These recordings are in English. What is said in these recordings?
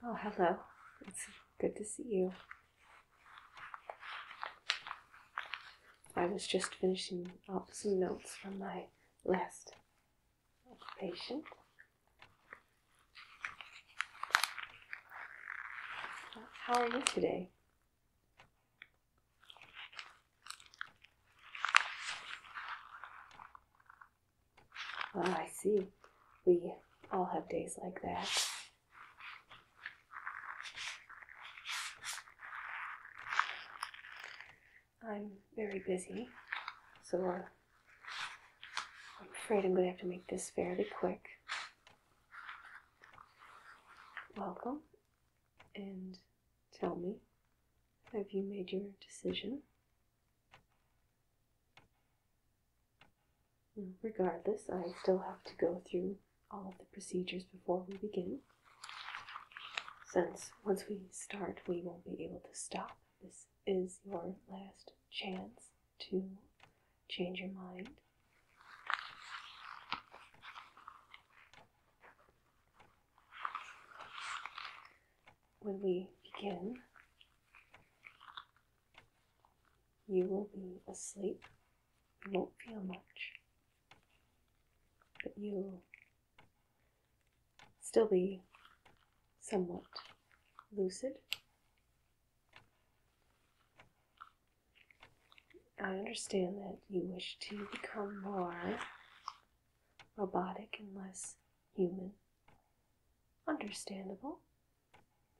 Oh, hello. It's good to see you. I was just finishing up some notes from my list. Patient, How are you today? Well, ah, I see. We all have days like that. I'm very busy, so I'm afraid I'm going to have to make this fairly quick. Welcome, and tell me, have you made your decision? Regardless, I still have to go through all of the procedures before we begin. Since once we start, we won't be able to stop. This is your last chance to change your mind. When we begin, you will be asleep. You won't feel much, but you'll still be somewhat lucid I understand that you wish to become more robotic and less human. Understandable.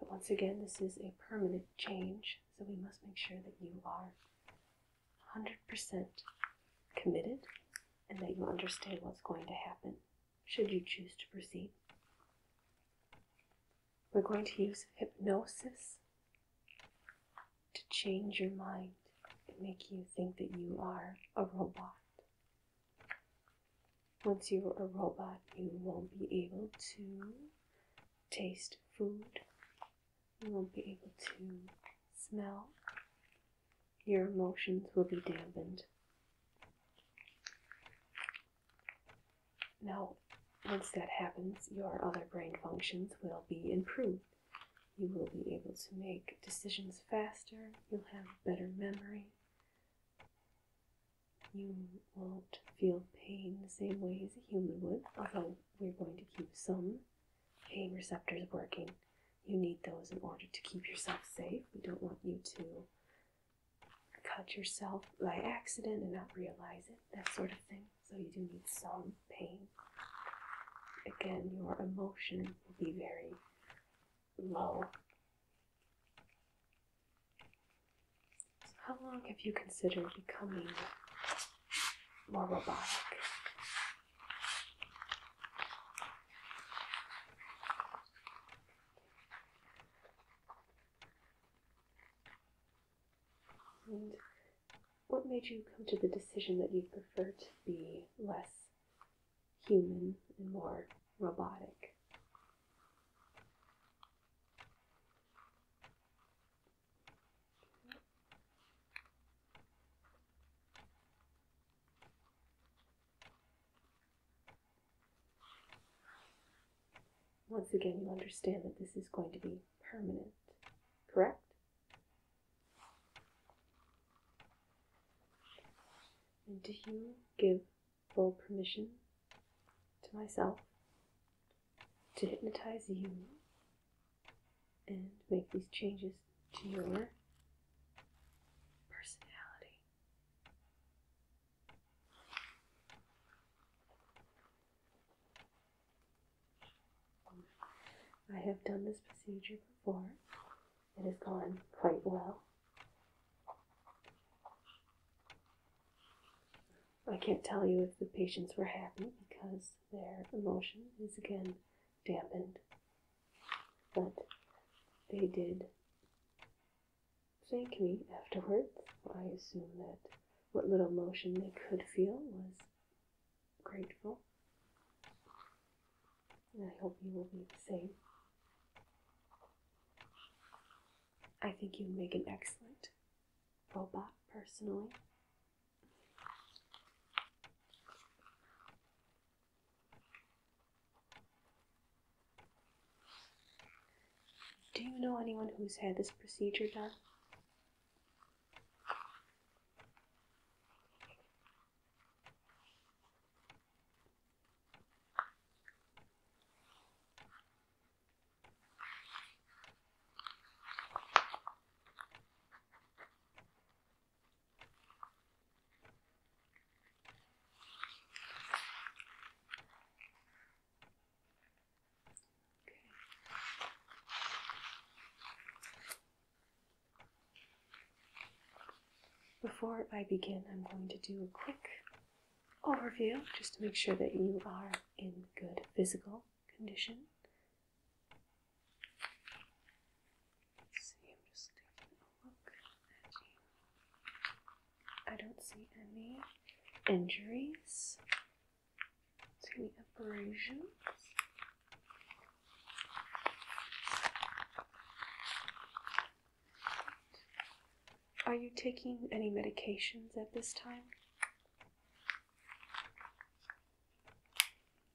But once again, this is a permanent change, so we must make sure that you are 100% committed and that you understand what's going to happen should you choose to proceed. We're going to use hypnosis to change your mind and make you think that you are a robot. Once you're a robot, you won't be able to taste food, you won't be able to smell, your emotions will be dampened. Now, once that happens, your other brain functions will be improved. You will be able to make decisions faster, you'll have better memory, you won't feel pain the same way as a human would, although we're going to keep some pain receptors working. You need those in order to keep yourself safe. We don't want you to cut yourself by accident and not realize it, that sort of thing. So you do need some pain. Again, your emotion will be very low. how long have you considered becoming more robotic? what made you come to the decision that you prefer to be less human and more robotic? Once again, you understand that this is going to be permanent, correct? And do you give full permission to myself to hypnotize you and make these changes to your personality? I have done this procedure before. It has gone quite well. I can't tell you if the patients were happy because their emotion is again dampened. But they did thank me afterwards. I assume that what little emotion they could feel was grateful. And I hope you will be the same. I think you make an excellent robot, personally. Do you know anyone who's had this procedure done? Before I begin, I'm going to do a quick overview just to make sure that you are in good physical condition. see, I'm just taking a look at you. I don't see any injuries, any abrasions. Are you taking any medications at this time?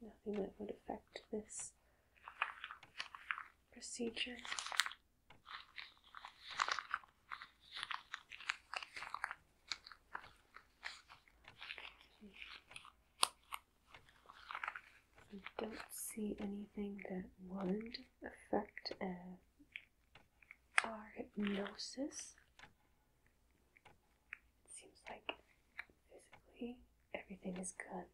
Nothing that would affect this procedure. I don't see anything that would affect uh, our hypnosis. It seems like physically everything is good.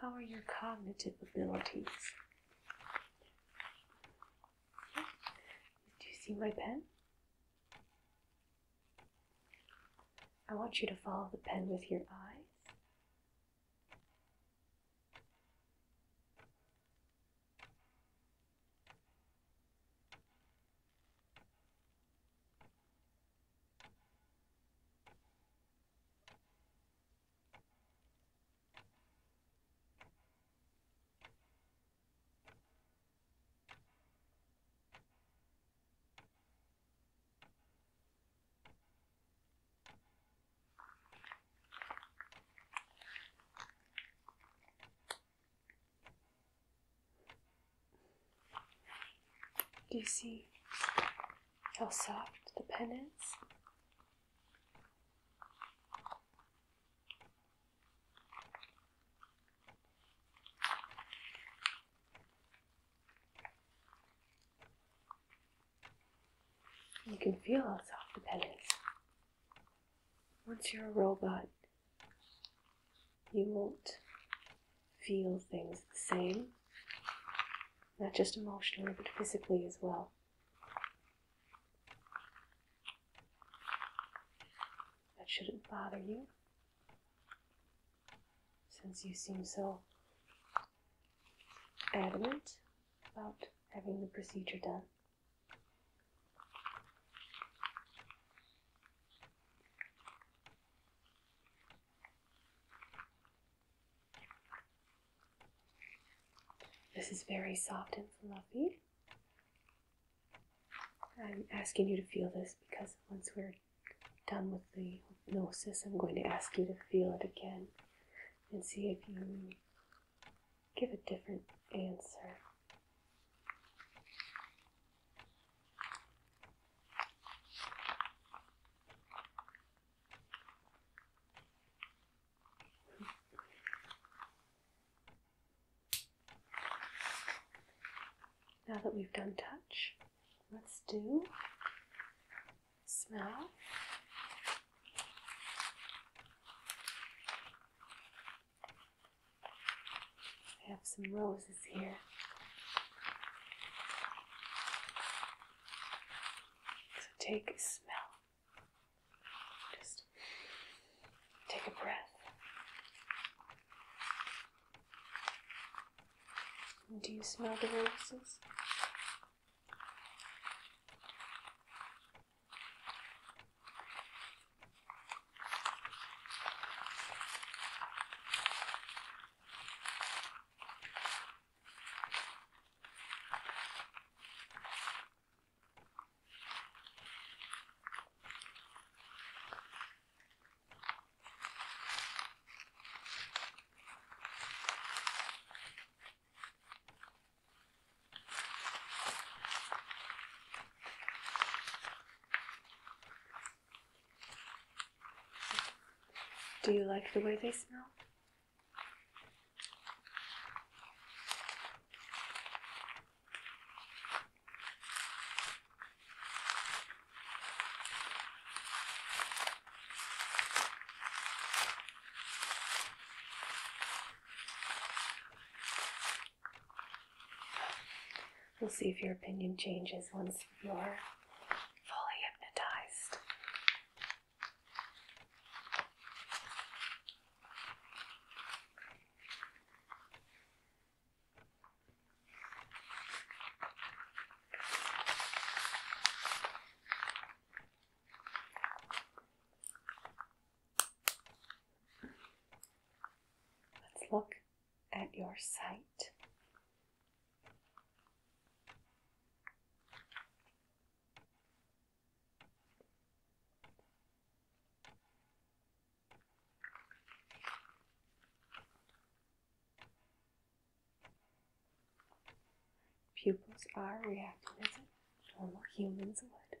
How are your cognitive abilities? Okay. Do you see my pen? I want you to follow the pen with your eyes. Do you see how soft the pen is? You can feel how soft the bed Once you're a robot, you won't feel things the same, not just emotionally, but physically as well. That shouldn't bother you, since you seem so adamant about having the procedure done. This is very soft and fluffy. I'm asking you to feel this because once we're done with the hypnosis, I'm going to ask you to feel it again and see if you give a different answer. Now that we've done touch, let's do smell. I have some roses here. So take a smell. Just take a breath. Do you smell the roses? Do you like the way they smell? We'll see if your opinion changes once you're fully hypnotized. Let's look at your site. Pupils are reacting as normal humans would.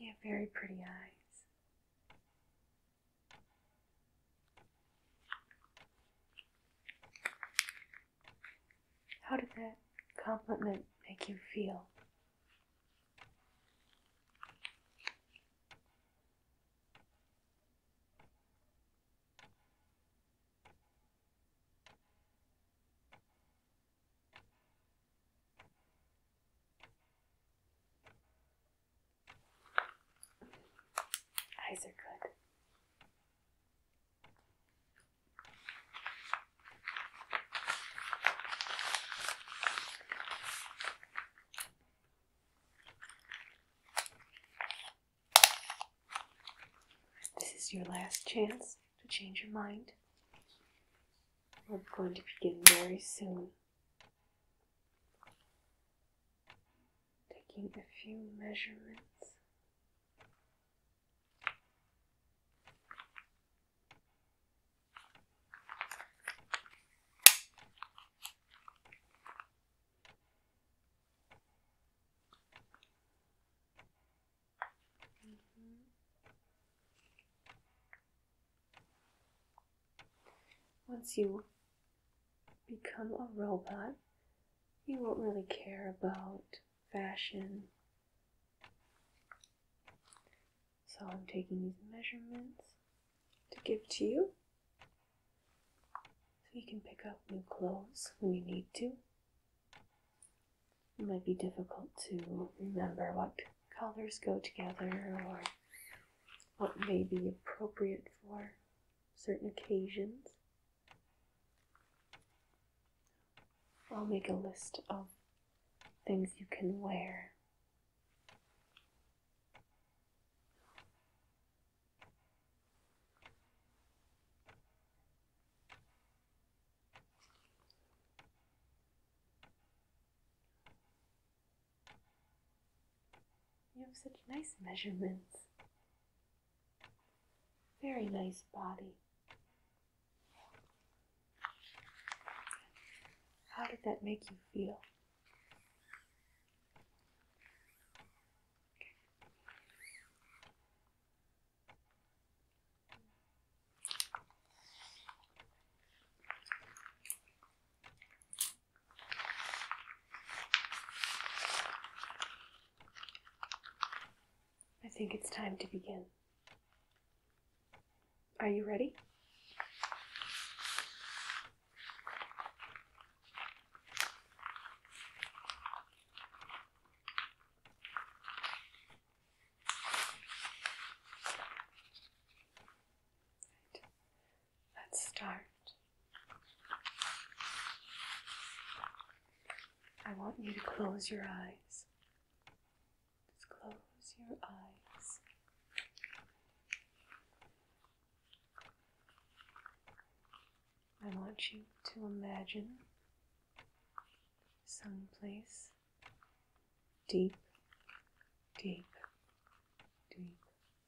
You have very pretty eyes. How did that compliment make you feel? Eyes are good. This is your last chance to change your mind. We're going to begin very soon. Taking a few measurements. Mm-hmm. Once you become a robot, you won't really care about fashion so I'm taking these measurements to give to you. So you can pick up new clothes when you need to. It might be difficult to remember what colors go together or what may be appropriate for certain occasions. I'll make a list of things you can wear you have such nice measurements. Very nice body. How did that make you feel? I think it's time to begin. Are you ready? Let's start. I want you to close your eyes just close your eyes. I want you to imagine some place deep, deep, deep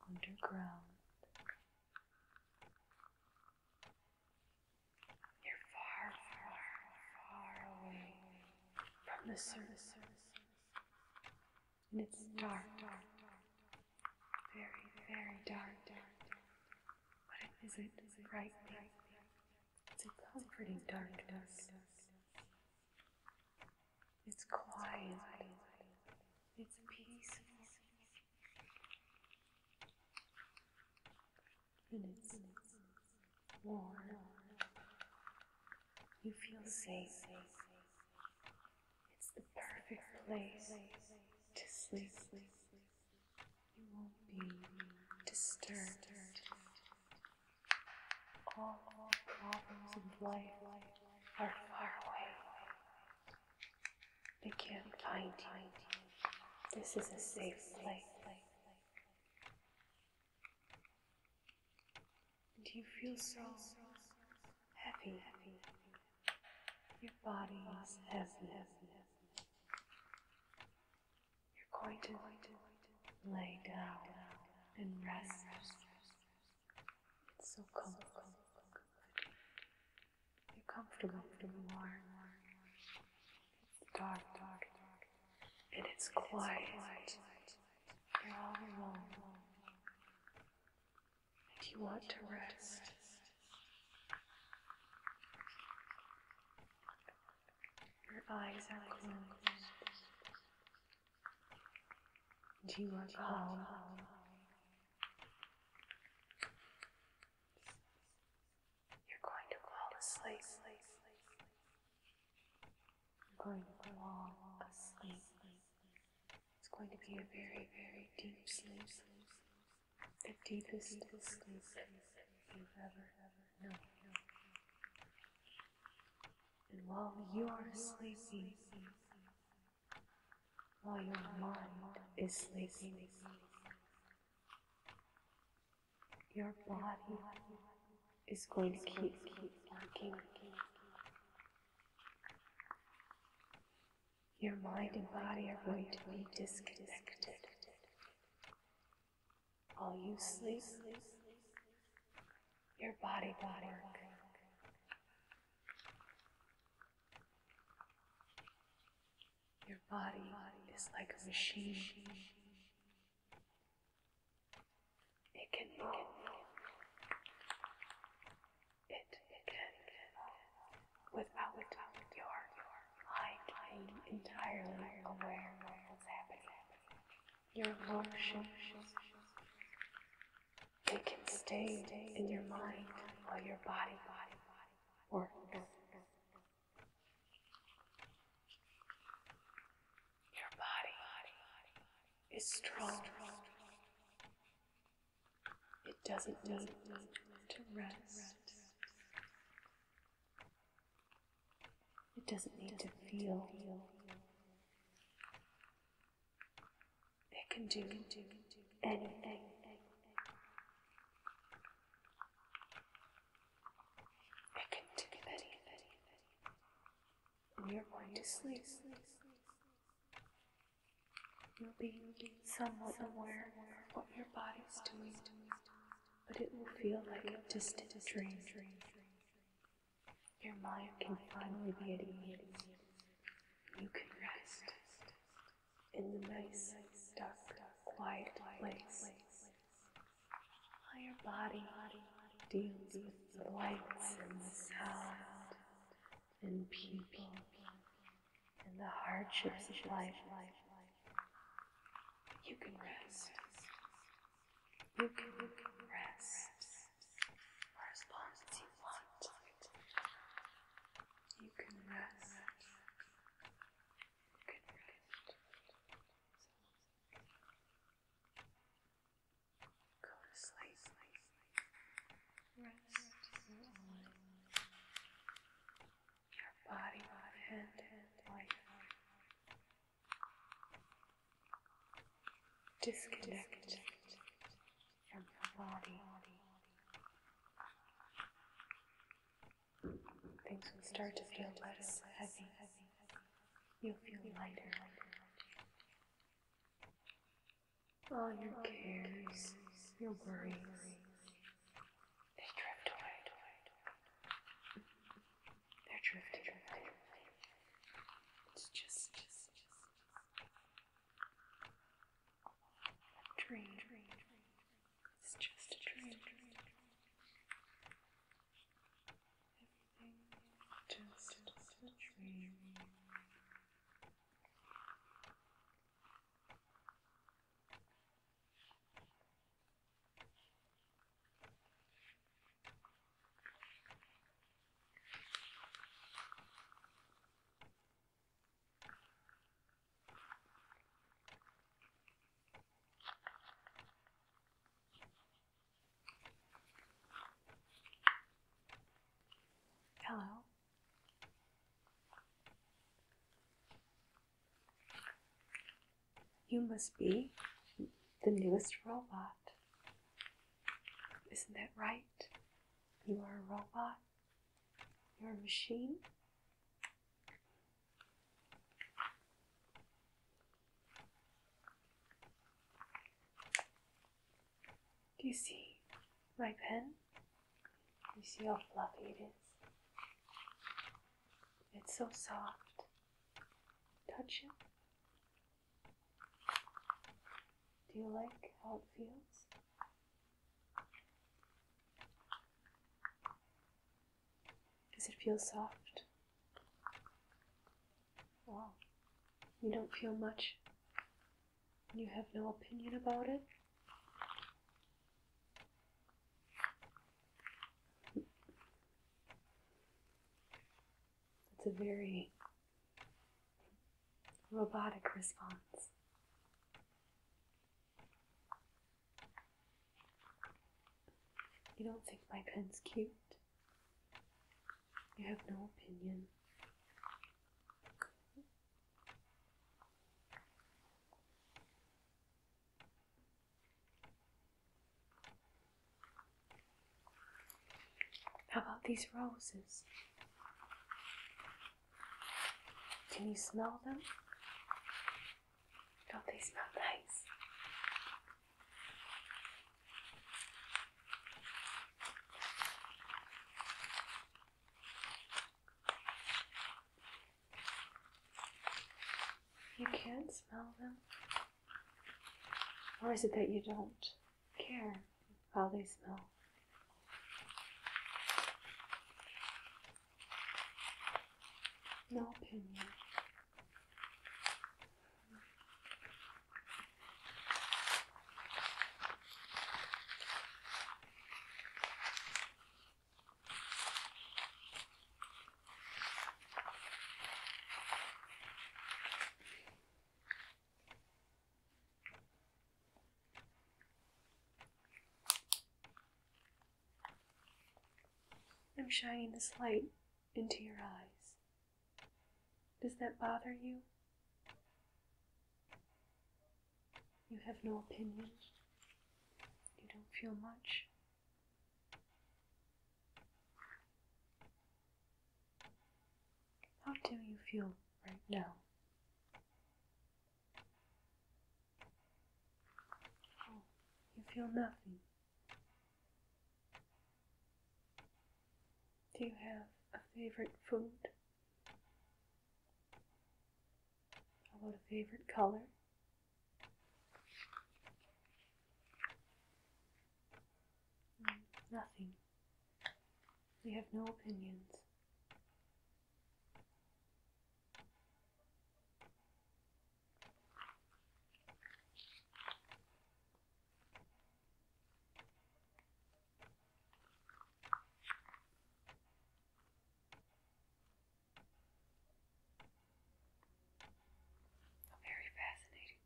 underground. You're far, far, far away from the surface and it's dark, dark, dark, very, very dark, But it isn't bright. It's a comforting darkness. It's quiet. It's peaceful. And it's warm. You feel safe. It's the perfect place to sleep. You won't be disturbed. All, all problems of life are far away. They can't find you. This is a safe place. And you feel so heavy. Your body is heavy. You're going to lay down and rest. It's so comfortable. You're comfortable for It's dark, dark, dark. And it's quiet. You're all alone, you want to rest. Your eyes are closed, and you are calm. You're going to fall asleep. I'm going to fall asleep. It's going to be a very, very deep sleep. The deepest sleep you've ever, ever known. And while you are sleeping, while your mind is sleeping, your body is going to keep working your mind and body are going to be disconnected. While you sleep, sleep, sleep, your body will Your body is like a machine. It can move. It can without your mind entirely aware of what's happening. Your emotions. It can stay in your mind while your body works. Your body is strong. It doesn't need to rest. It doesn't need to feel. It can do anything. It can do anything and you're going to sleep. You'll be somewhat aware of what your body's doing, but it will feel like a distant dream. Your mind can finally be at ease. You can rest in the nice, dark, quiet place. While your body deals with the lights and the sound and people and the hardships of life, you can rest. you can rest for as long as you want. You can rest. You can rest. Go to sleep. Rest your eyes. body will end life. Disconnect from your body. Things will start to feel less heavy. You'll feel lighter. All your cares, your worries, they drift away. They're away. It's just, just, just a dream. It's just a dream just a dream. Hello. You must be the newest robot. Isn't that right? You are a robot. You're a machine. Do you see my pen? Do You see how fluffy it is? It's so soft. Touch it. Do you like how it feels? Does it feel soft? Wow. You don't feel much you have no opinion about it? That's a very robotic response. You don't think my pen's cute? You have no opinion. How about these roses? Can you smell them? Don't they smell nice? You can't smell them? Or is it that you don't care how they smell? No opinion. I'm shining this light into your eyes. Does that bother you? You have no opinion. You don't feel much. How do you feel right now? Oh, you feel nothing. Do you have a favorite food? How about a favorite color? Mm, nothing. We have no opinions. Oh, very fascinating.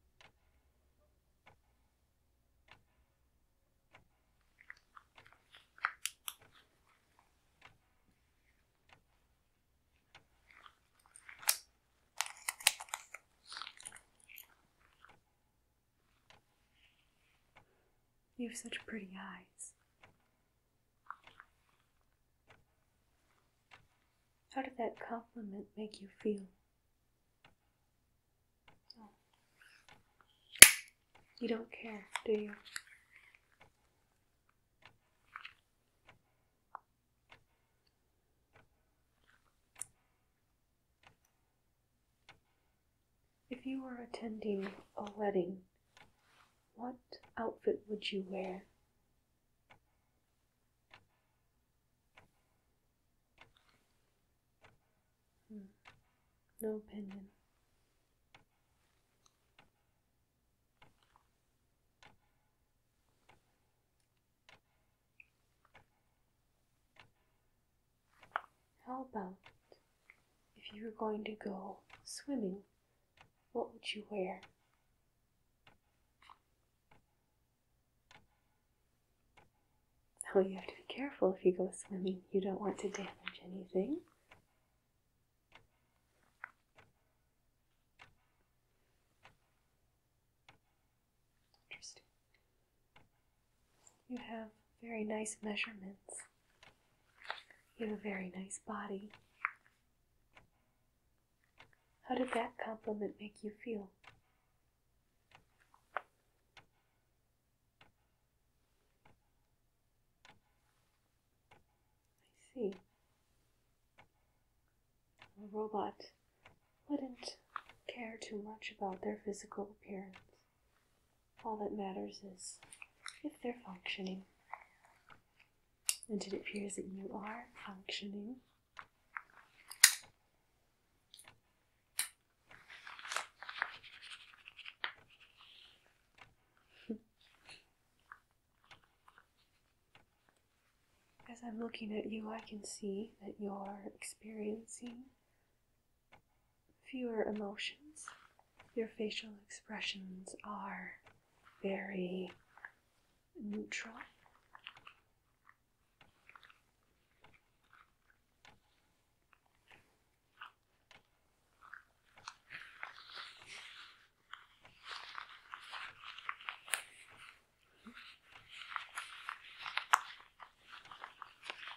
You have such pretty eyes. How did that compliment make you feel? You don't care, do you? If you were attending a wedding, what outfit would you wear? Hmm. No opinion. How about if you were going to go swimming, what would you wear? Oh, you have to be careful if you go swimming. You don't want to damage anything. Interesting. You have very nice measurements. You have a very nice body. How did that compliment make you feel? I see. A robot wouldn't care too much about their physical appearance. All that matters is if they're functioning. And it appears that you are functioning. As I'm looking at you, I can see that you're experiencing fewer emotions. Your facial expressions are very neutral.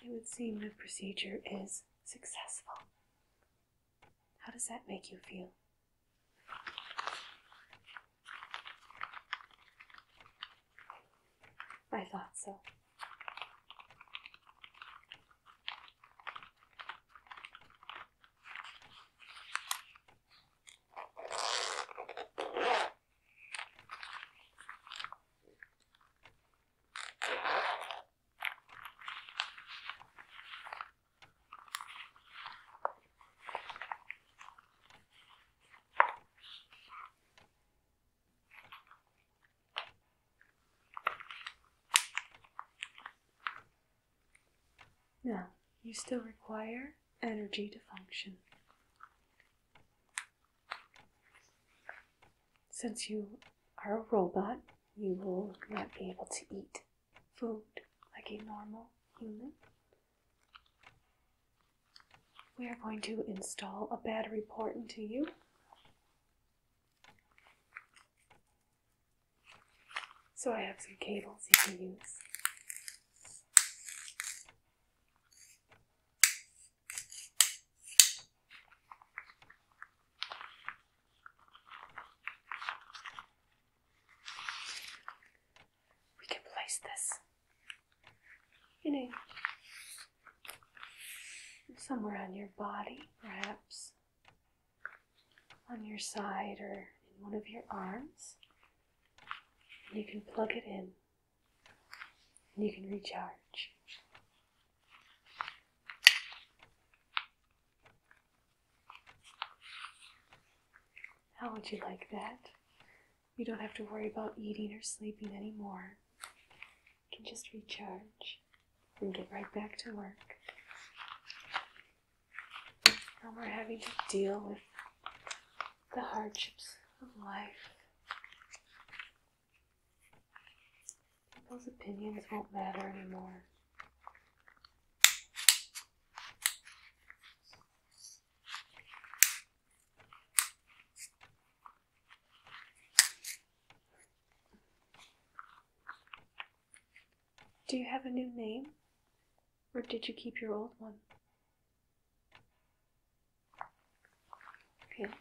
It would seem the procedure is successful. How does that make you feel? I thought so. Now, you still require energy to function. Since you are a robot, you will not be able to eat food like a normal human. We are going to install a battery port into you. So I have some cables you can use. We can place this, you know, somewhere on your body, perhaps on your side or in one of your arms. And you can plug it in and you can recharge. How would you like that? You don't have to worry about eating or sleeping anymore. You can just recharge and get right back to work. No more having to deal with the hardships of life. Those opinions won't matter anymore. Do you have a new name? Or did you keep your old one? Okay.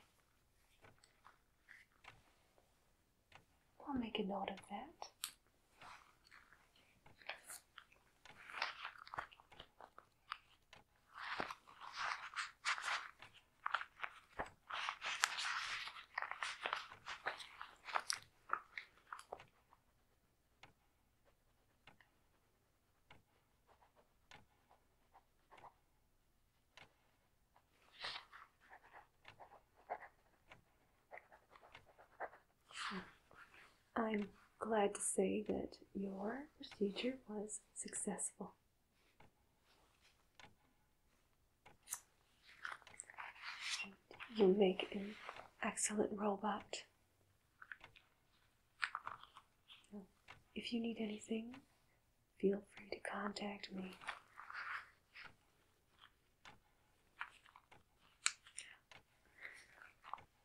I'll make a note of that. I'm glad to say that your procedure was successful. You make an excellent robot. If you need anything, feel free to contact me.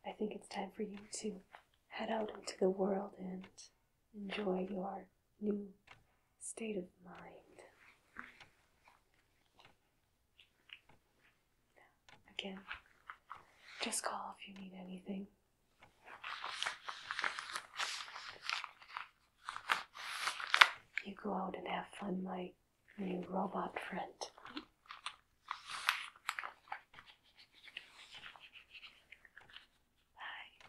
I think it's time for you to head out into the world and enjoy your new state of mind. Again, just call if you need anything. You go out and have fun, my new robot friend. Bye.